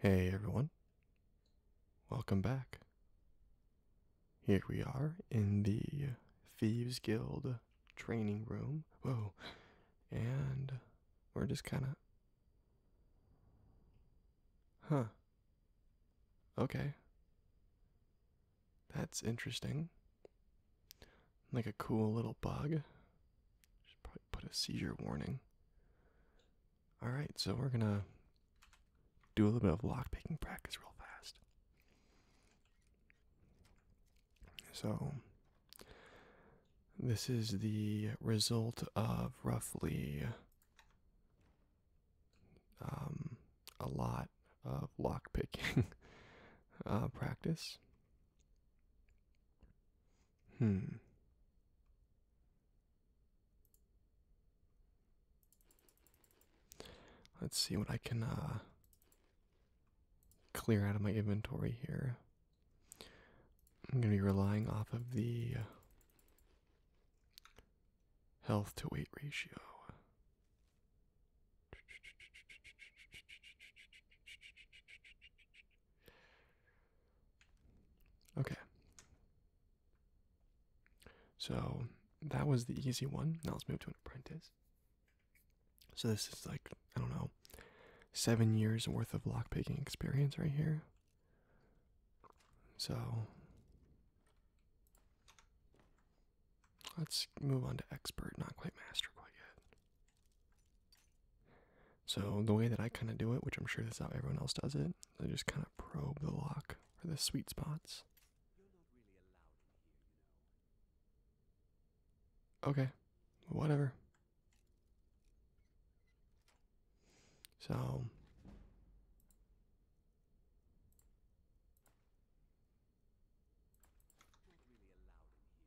Hey everyone, welcome back. Here we are in the Thieves Guild training room. Whoa, and we're just kind of. Huh. Okay. That's interesting. Like a cool little bug. Should probably put a seizure warning. Alright, so we're gonna do a little bit of lock picking practice real fast. So, this is the result of roughly um, a lot of lock picking uh, practice. Hmm. Let's see what I can uh, clear out of my inventory here. I'm going to be relying off of the health to weight ratio. Okay. So that was the easy one. Now let's move to an apprentice. So this is like, I don't know, seven years worth of lockpicking experience right here. So let's move on to expert, not quite master quite yet. So the way that I kind of do it, which I'm sure that's how everyone else does it, I just kind of probe the lock for the sweet spots. Okay, whatever. So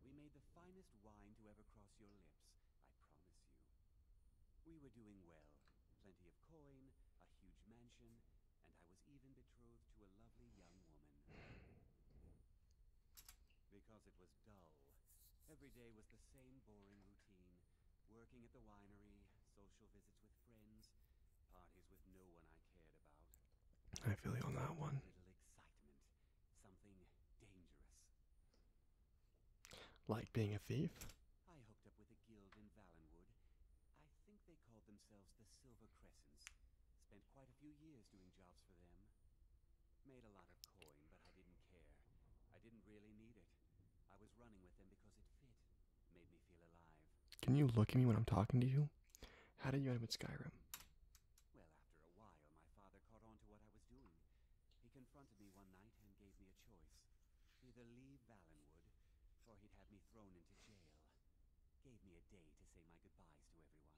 We made the finest wine to ever cross your lips, I promise you. We were doing well. Plenty of coin, a huge mansion, and I was even betrothed to a lovely young woman. Because it was dull. Every day was the same boring routine. Working at the winery, social visits with friends, parties with no one I cared about. I feel you on that one something dangerous. Like being a thief? I hooked up with a guild in Valenwood. I think they called themselves the Silver Crescents. Spent quite a few years doing jobs for them. Made a lot of coin, but I didn't care. I didn't really need it. I was running with them because it fit. Made me feel alive. Can you look at me when I'm talking to you? How did you end up with Skyrim? Well, after a while, my father caught on to what I was doing. He confronted me one night and gave me a choice. Either leave Valenwood, or he'd have me thrown into jail. Gave me a day to say my goodbyes to everyone.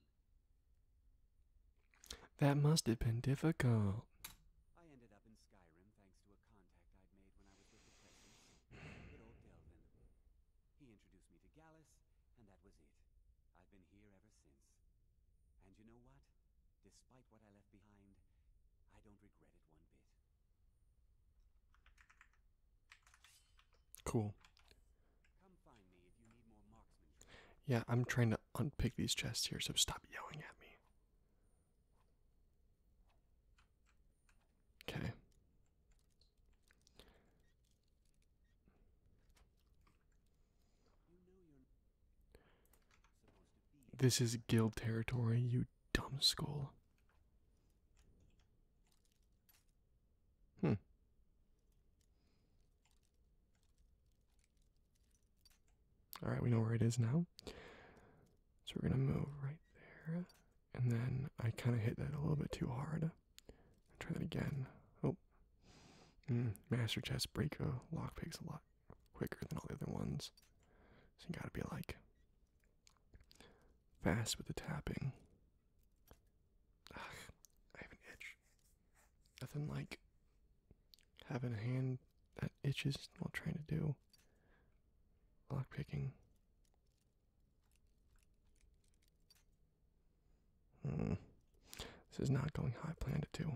That must have been difficult. I ended up in Skyrim thanks to a contact I'd made when I was with the Crescents. old Delvin. He introduced me to Gallus, and that was it. I've been here ever since. And you know what? Despite what I left behind, I don't regret it one bit. Cool. Yeah, I'm trying to unpick these chests here, so stop yelling at me. Okay. This is guild territory, you dumb skull. Hmm. Alright, we know where it is now. So we're gonna move right there. And then I kind of hit that a little bit too hard. Try that again. Oh. Mm, master chess break lockpick's a lot quicker than all the other ones. So you gotta be like fast with the tapping. I have an itch. Nothing like having a hand that itches while trying to do lockpicking. Hmm. This is not going how I planned it to.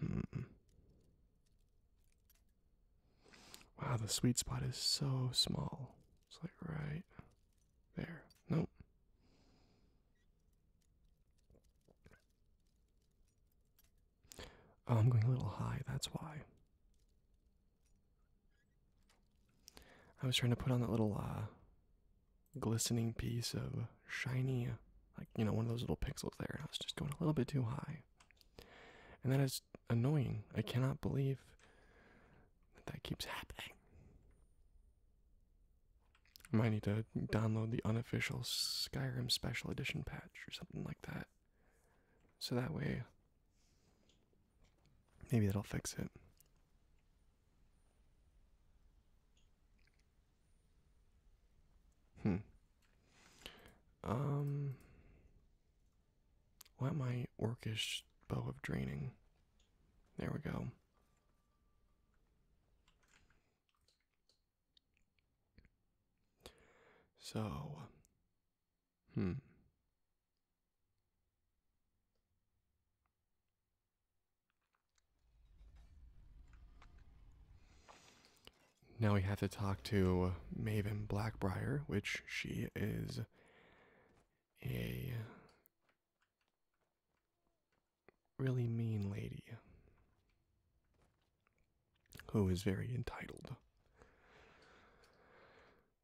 Hmm. Wow, the sweet spot is so small. It's like right there. Nope. Oh, I'm going a little high, that's why. I was trying to put on that little uh, glistening piece of shiny, like, you know, one of those little pixels there, and I was just going a little bit too high. And that is annoying. I cannot believe that that keeps happening. I might need to download the unofficial Skyrim Special Edition patch or something like that. So that way Maybe that'll fix it. Hmm. Um. What my orcish bow of draining? There we go. So Hmm. Now we have to talk to Maven Blackbriar, which she is a really mean lady who is very entitled.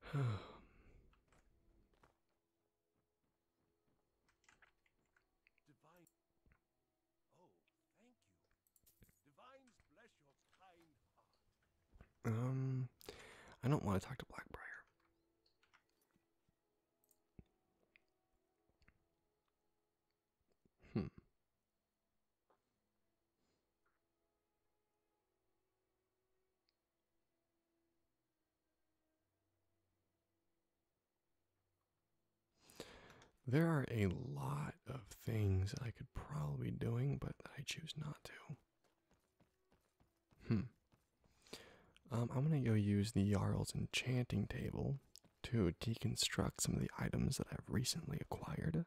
Um, I don't want to talk to Blackbriar. Hmm. There are a lot of things I could probably be doing, but I choose not to. Hmm. Um, I'm gonna go use the Jarl's enchanting table to deconstruct some of the items that I've recently acquired.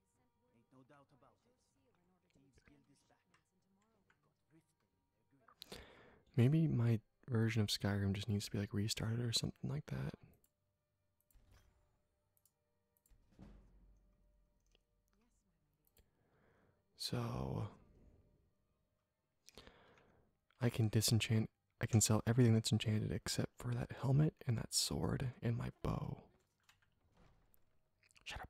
Maybe my version of Skyrim just needs to be like restarted or something like that. So I can disenchant I can sell everything that's enchanted except for that helmet and that sword and my bow. Shut up.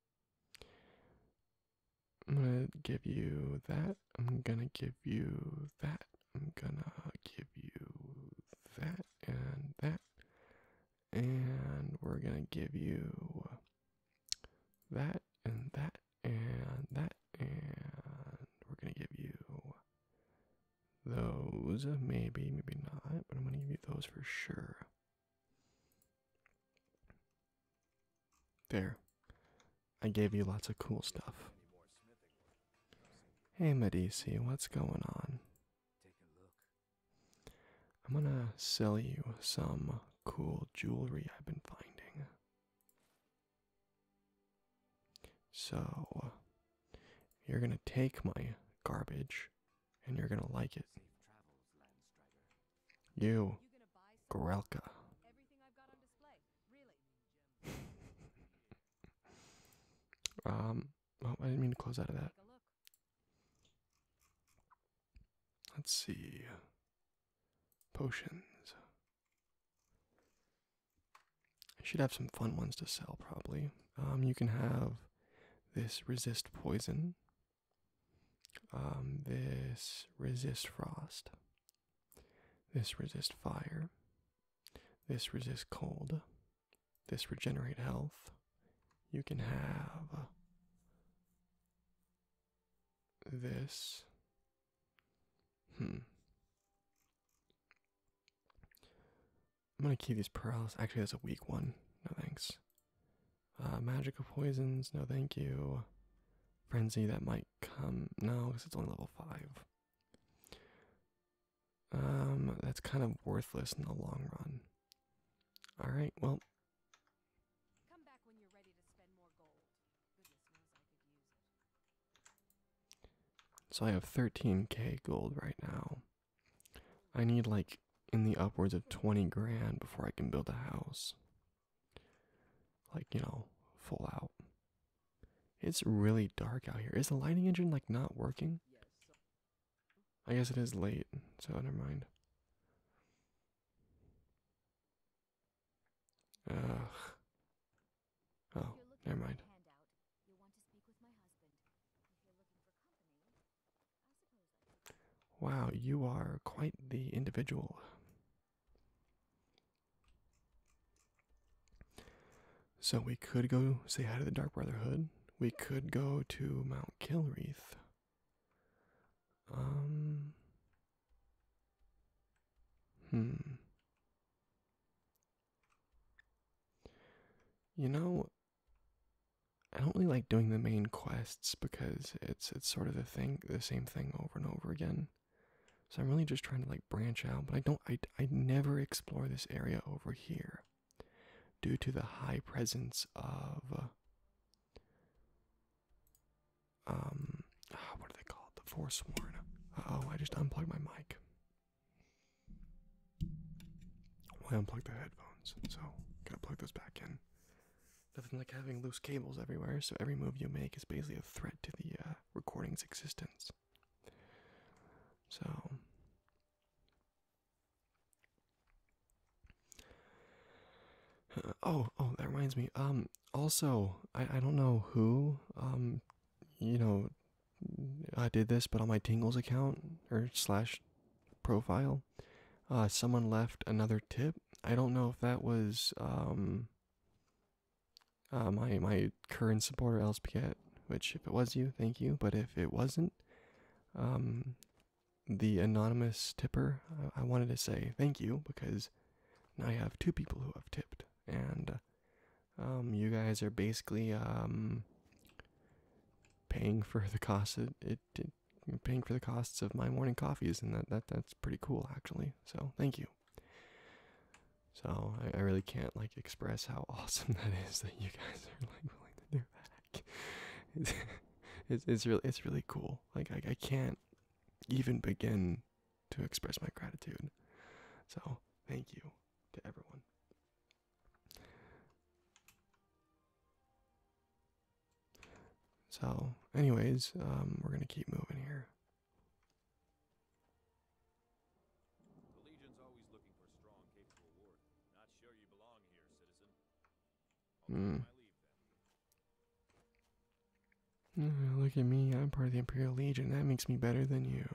I'm gonna give you that. I'm gonna give you that. I'm gonna give you that and that. And we're gonna give you that and that and that. And we're gonna give you those. Maybe, maybe not. But I'm gonna give you those for sure. There. I gave you lots of cool stuff. Hey, Medici, what's going on? I'm gonna sell you some cool jewelry I've been finding. So, you're gonna take my garbage and you're gonna like it. You, Gorelka. um, oh, I didn't mean to close out of that. Let's see. Potions. I should have some fun ones to sell, probably. Um, you can have this resist poison. Um, this resist frost. This resist fire. This resist cold. This regenerate health. You can have this. Hmm. I'm gonna keep these paralysis. Actually, that's a weak one. No thanks. Uh, magical poisons. No thank you. Frenzy. That might come no because it's only level five um that's kind of worthless in the long run all right well so i have 13k gold right now i need like in the upwards of 20 grand before i can build a house like, you know, full out. It's really dark out here. Is the lighting engine like not working? I guess it is late, so never mind. Oh, never mind. Wow, you are quite the individual. So we could go say hi to the Dark Brotherhood. We could go to Mount Kilreath. Um. Hmm. You know, I don't really like doing the main quests because it's it's sort of the thing, the same thing over and over again. So I'm really just trying to like branch out, but I don't I I never explore this area over here due to the high presence of um ah, what do they call The Forsworn. Uh oh, I just unplugged my mic. I unplugged the headphones, so gotta plug those back in nothing like having loose cables everywhere, so every move you make is basically a threat to the uh, recording's existence. So. Uh, oh, oh, that reminds me. Um, also, I, I don't know who, um, you know, I uh, did this, but on my Tingles account or slash profile, uh, someone left another tip. I don't know if that was, um, uh, my my current supporter Els Piquet, which if it was you, thank you. But if it wasn't, um, the anonymous tipper, I, wanted to say thank you because now I have two people who have tipped, and uh, um, you guys are basically um paying for the cost it paying for the costs of my morning coffees, and that that that's pretty cool actually. So thank you. So I, really can't like express how awesome that is that you guys are like willing to do that. It's it's, really it's really cool. Like I, I can't even begin to express my gratitude. So thank you to everyone. So, anyways, um, we're gonna keep moving here. The Legion's always looking for strong, capable war. Not sure you belong here, citizen. Hmm. look at me, I'm part of the Imperial Legion. That makes me better than you.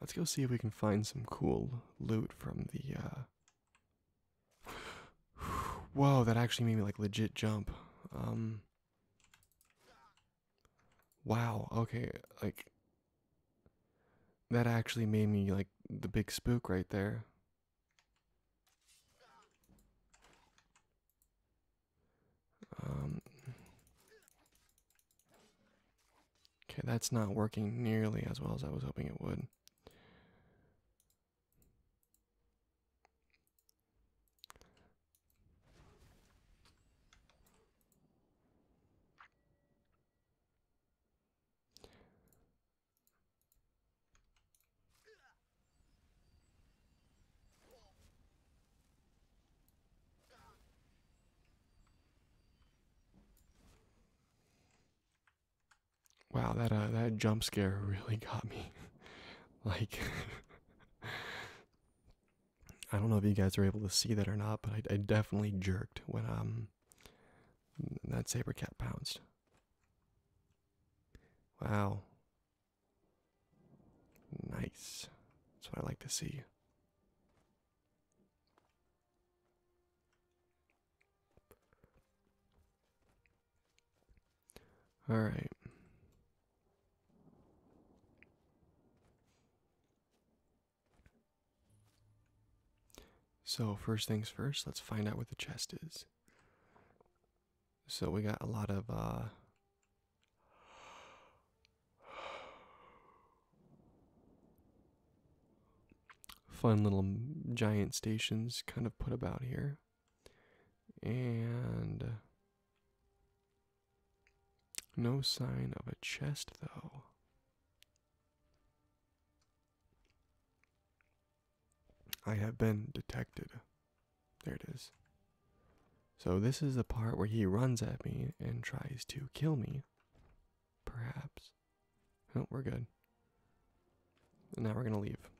Let's go see if we can find some cool loot from the uh Whoa, that actually made me like legit jump. Um Wow, okay, like that actually made me like the big spook right there. Um, okay, that's not working nearly as well as I was hoping it would. Wow, that uh, that jump scare really got me. like, I don't know if you guys are able to see that or not, but I, I definitely jerked when um that saber cat pounced. Wow, Nice. That's what I like to see. All right. So, first things first, let's find out where the chest is. So we got a lot of uh, fun little giant stations kind of put about here. And uh, no sign of a chest though. I have been detected. There it is. So, this is the part where he runs at me and tries to kill me. Perhaps. Oh, we're good. And now we're gonna leave.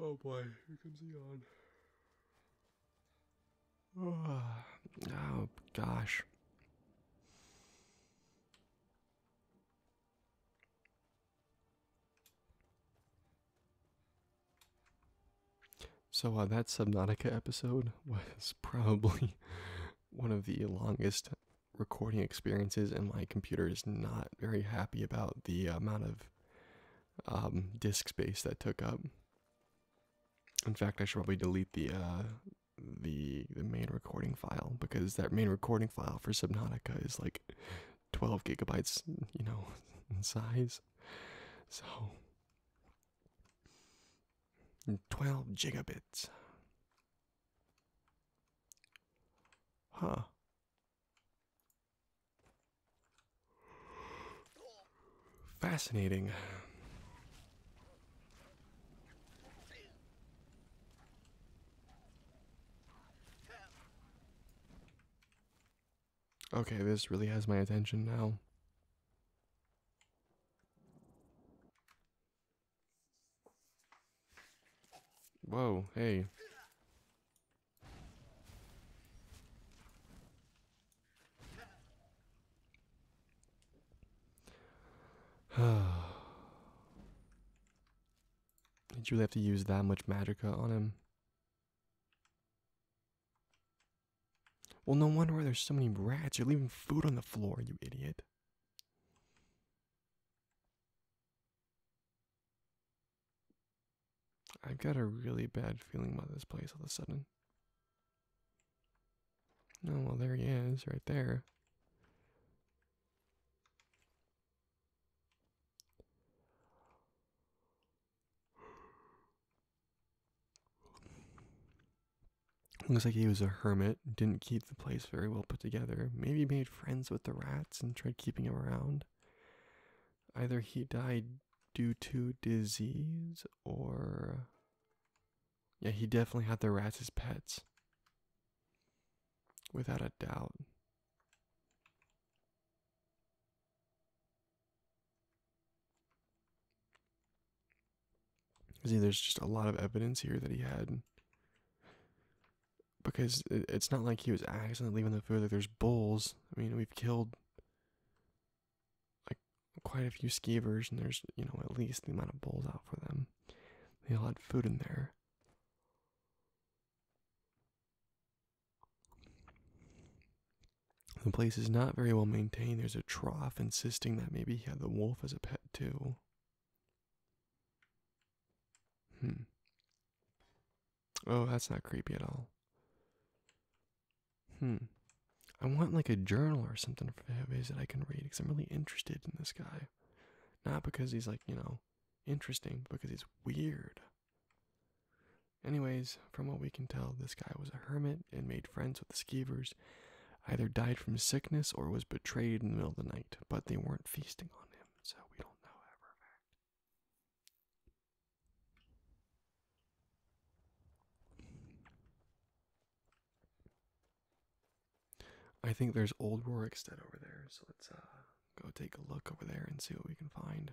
Oh boy, here comes the yawn. Ah, oh, gosh. So that Subnautica episode was probably one of the longest recording experiences, and my computer is not very happy about the amount of um, disk space that took up. In fact, I should probably delete the uh, the the main recording file because that main recording file for Subnautica is like 12 gigabytes, you know, in size. So 12 gigabits. Huh. Fascinating. Okay, this really has my attention now. Whoa, hey. Did you really have to use that much magica on him? Well, no wonder there's so many rats. You're leaving food on the floor, you idiot. I've got a really bad feeling about this place all of a sudden. Oh, well, there he is, right there. Looks like he was a hermit, didn't keep the place very well put together. Maybe made friends with the rats and tried keeping them around. Either he died due to disease or. Yeah, he definitely had the rats as pets. Without a doubt. See, there's just a lot of evidence here that he had. Because it's not like he was accidentally leaving the food. Like there's bulls. I mean, we've killed like quite a few skeevers, and there's you know at least the amount of bowls out for them. They all had food in there. The place is not very well maintained. There's a trough insisting that maybe he had the wolf as a pet too. Hmm. Oh, that's not creepy at all. Hmm. I want like a journal or something for his that I can read because I'm really interested in this guy. Not because he's like, you know, interesting, but because he's weird. Anyways, from what we can tell, this guy was a hermit and made friends with the skeevers. Either died from sickness or was betrayed in the middle of the night, but they weren't feasting on him, so we don't know that fact. I think there's old Rorikstead over there, so let's uh, go take a look over there and see what we can find.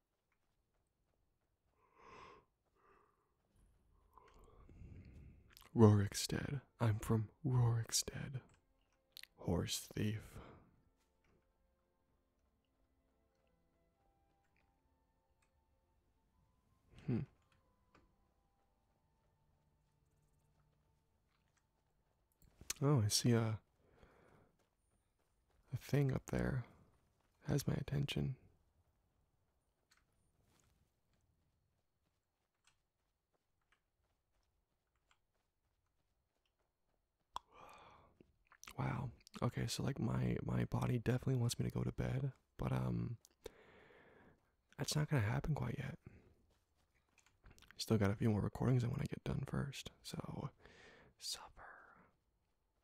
Rorikstead. I'm from Rorikstead. Horse thief. Hmm. Oh, I see a a thing up there has my attention. Wow. Okay, so like my my body definitely wants me to go to bed, but um that's not going to happen quite yet. Still got a few more recordings I want to get done first. So supper.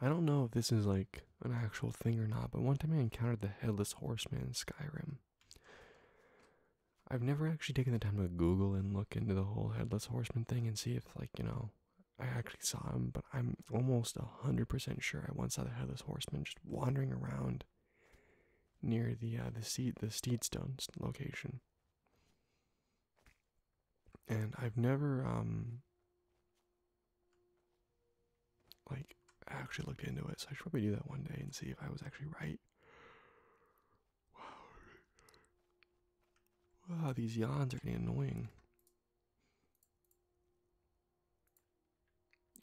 I don't know if this is like an actual thing or not, but one time I encountered the headless horseman in Skyrim. I've never actually taken the time to Google and look into the whole headless horseman thing and see if, like, you know, I actually saw him, but I'm almost 100% sure I once saw the headless horseman just wandering around near the uh, the seat the Steedstone location and I've never um like actually looked into it, so I should probably do that one day and see if I was actually right. Wow, these yawns are getting annoying.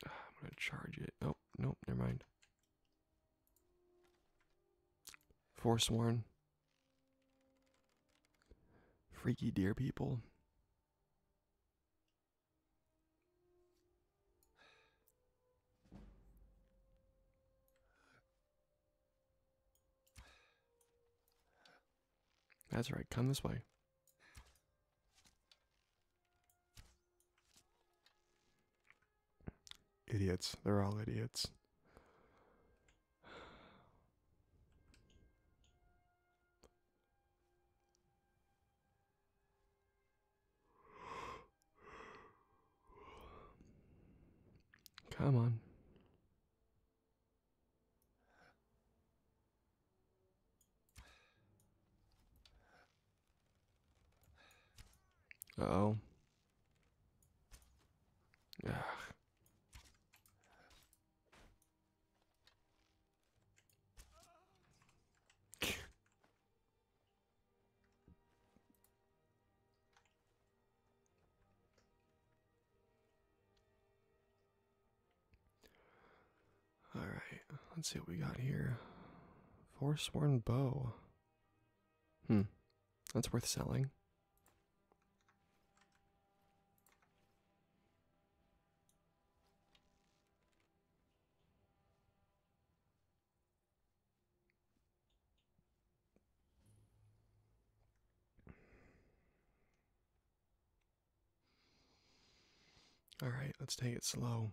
Ah, I'm gonna charge it. Oh, no, never mind. Forsworn. Freaky deer people. That's right, come this way. Idiots, they're all idiots. Come on. oh. All right, let's see what we got here. Forsworn bow. Hmm, that's worth selling. All right, let's take it slow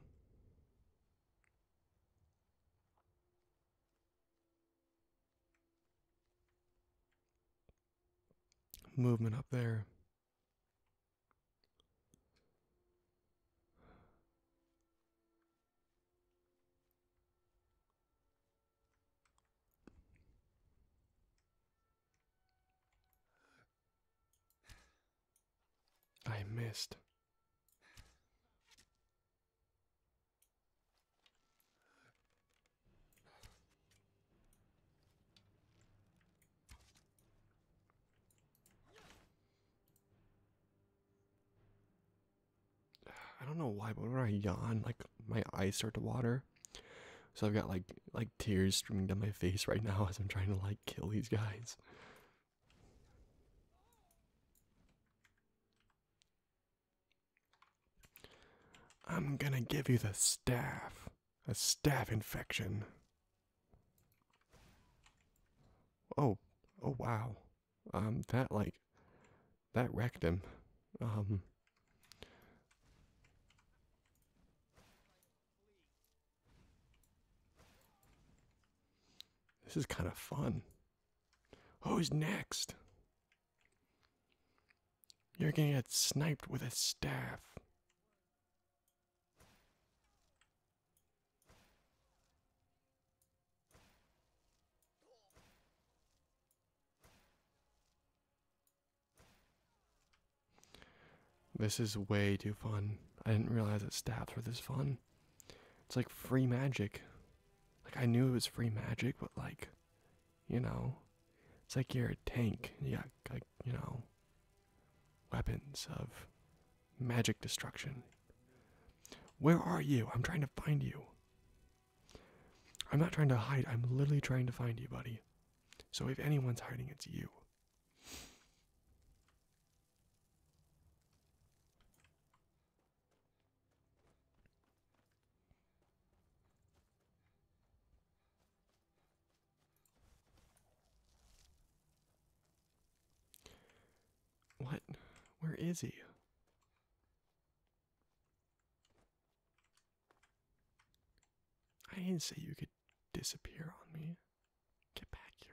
movement up there. I missed. I don't know why, but when I yawn, like my eyes start to water. So I've got like like tears streaming down my face right now as I'm trying to like kill these guys. I'm gonna give you the staff. A staff infection. Oh, oh wow. Um, that like, that wrecked him. Um. This is kind of fun. Who's next? You're gonna get sniped with a staff. This is way too fun. I didn't realize that staffs were this fun. It's like free magic. Like I knew it was free magic, but like you know, it's like you're a tank. You got like you know, weapons of magic destruction. Where are you? I'm trying to find you. I'm not trying to hide. I'm literally trying to find you, buddy. So if anyone's hiding, it's you. What? Where is he? I didn't say you could disappear on me. Get back here.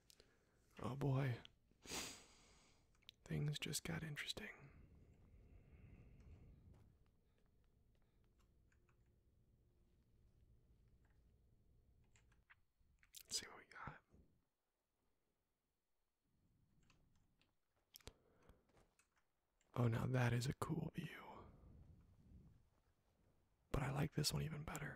Oh boy. Things just got interesting. see what we got. Oh, now that is a cool view. But I like this one even better.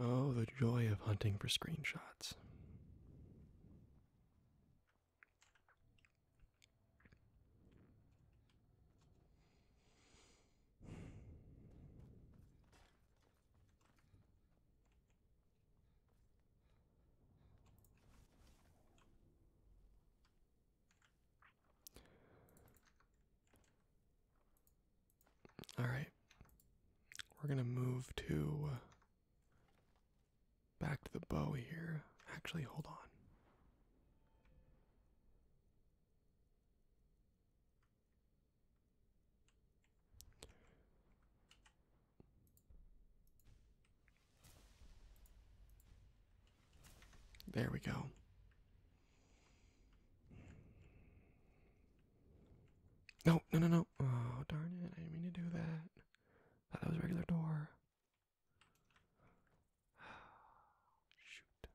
Oh, the joy of hunting for screenshots. All right, we're going to move to Back to the bow here. Actually, hold on. There we go. No, no, no, no. Oh, darn it. I didn't mean to do that. Thought that was a regular door. Shoot.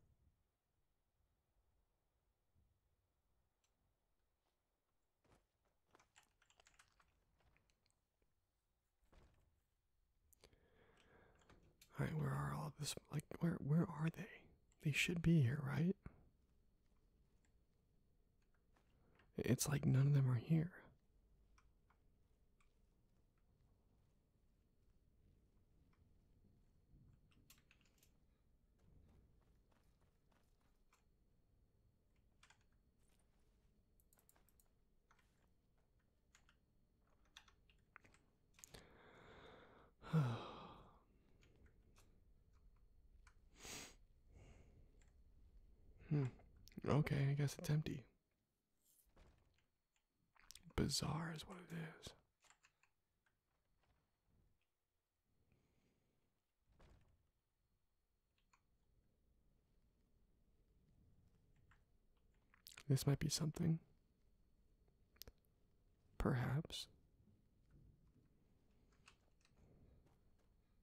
All right, where are all this? Like, where where are they? They should be here, right? It's like none of them are here. Hmm. Okay, I guess it's empty. Bizarre is what it is. This might be something. Perhaps.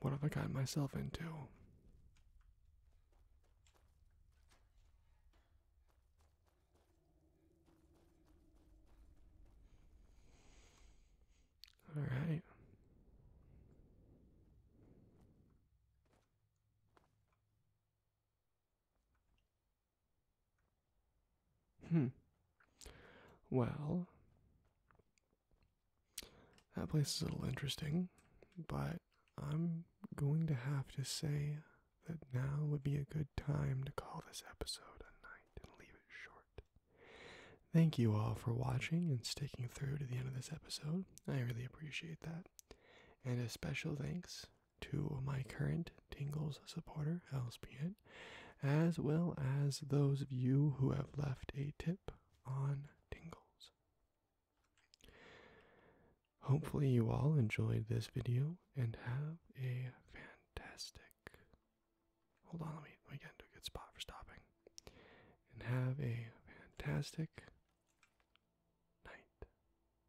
what have I gotten myself into? All right. Hmm. Well, that place is a little interesting, but I'm going to have to say that now would be a good time to call this episode a night and leave it short. Thank you all for watching and sticking through to the end of this episode. I really appreciate that. And a special thanks to my current Tingles supporter, LSPN, as well as those of you who have left a tip on Tingles. Hopefully, you all enjoyed this video and have a fantastic. Hold on, let me, let me get into a good spot for stopping. And have a fantastic night.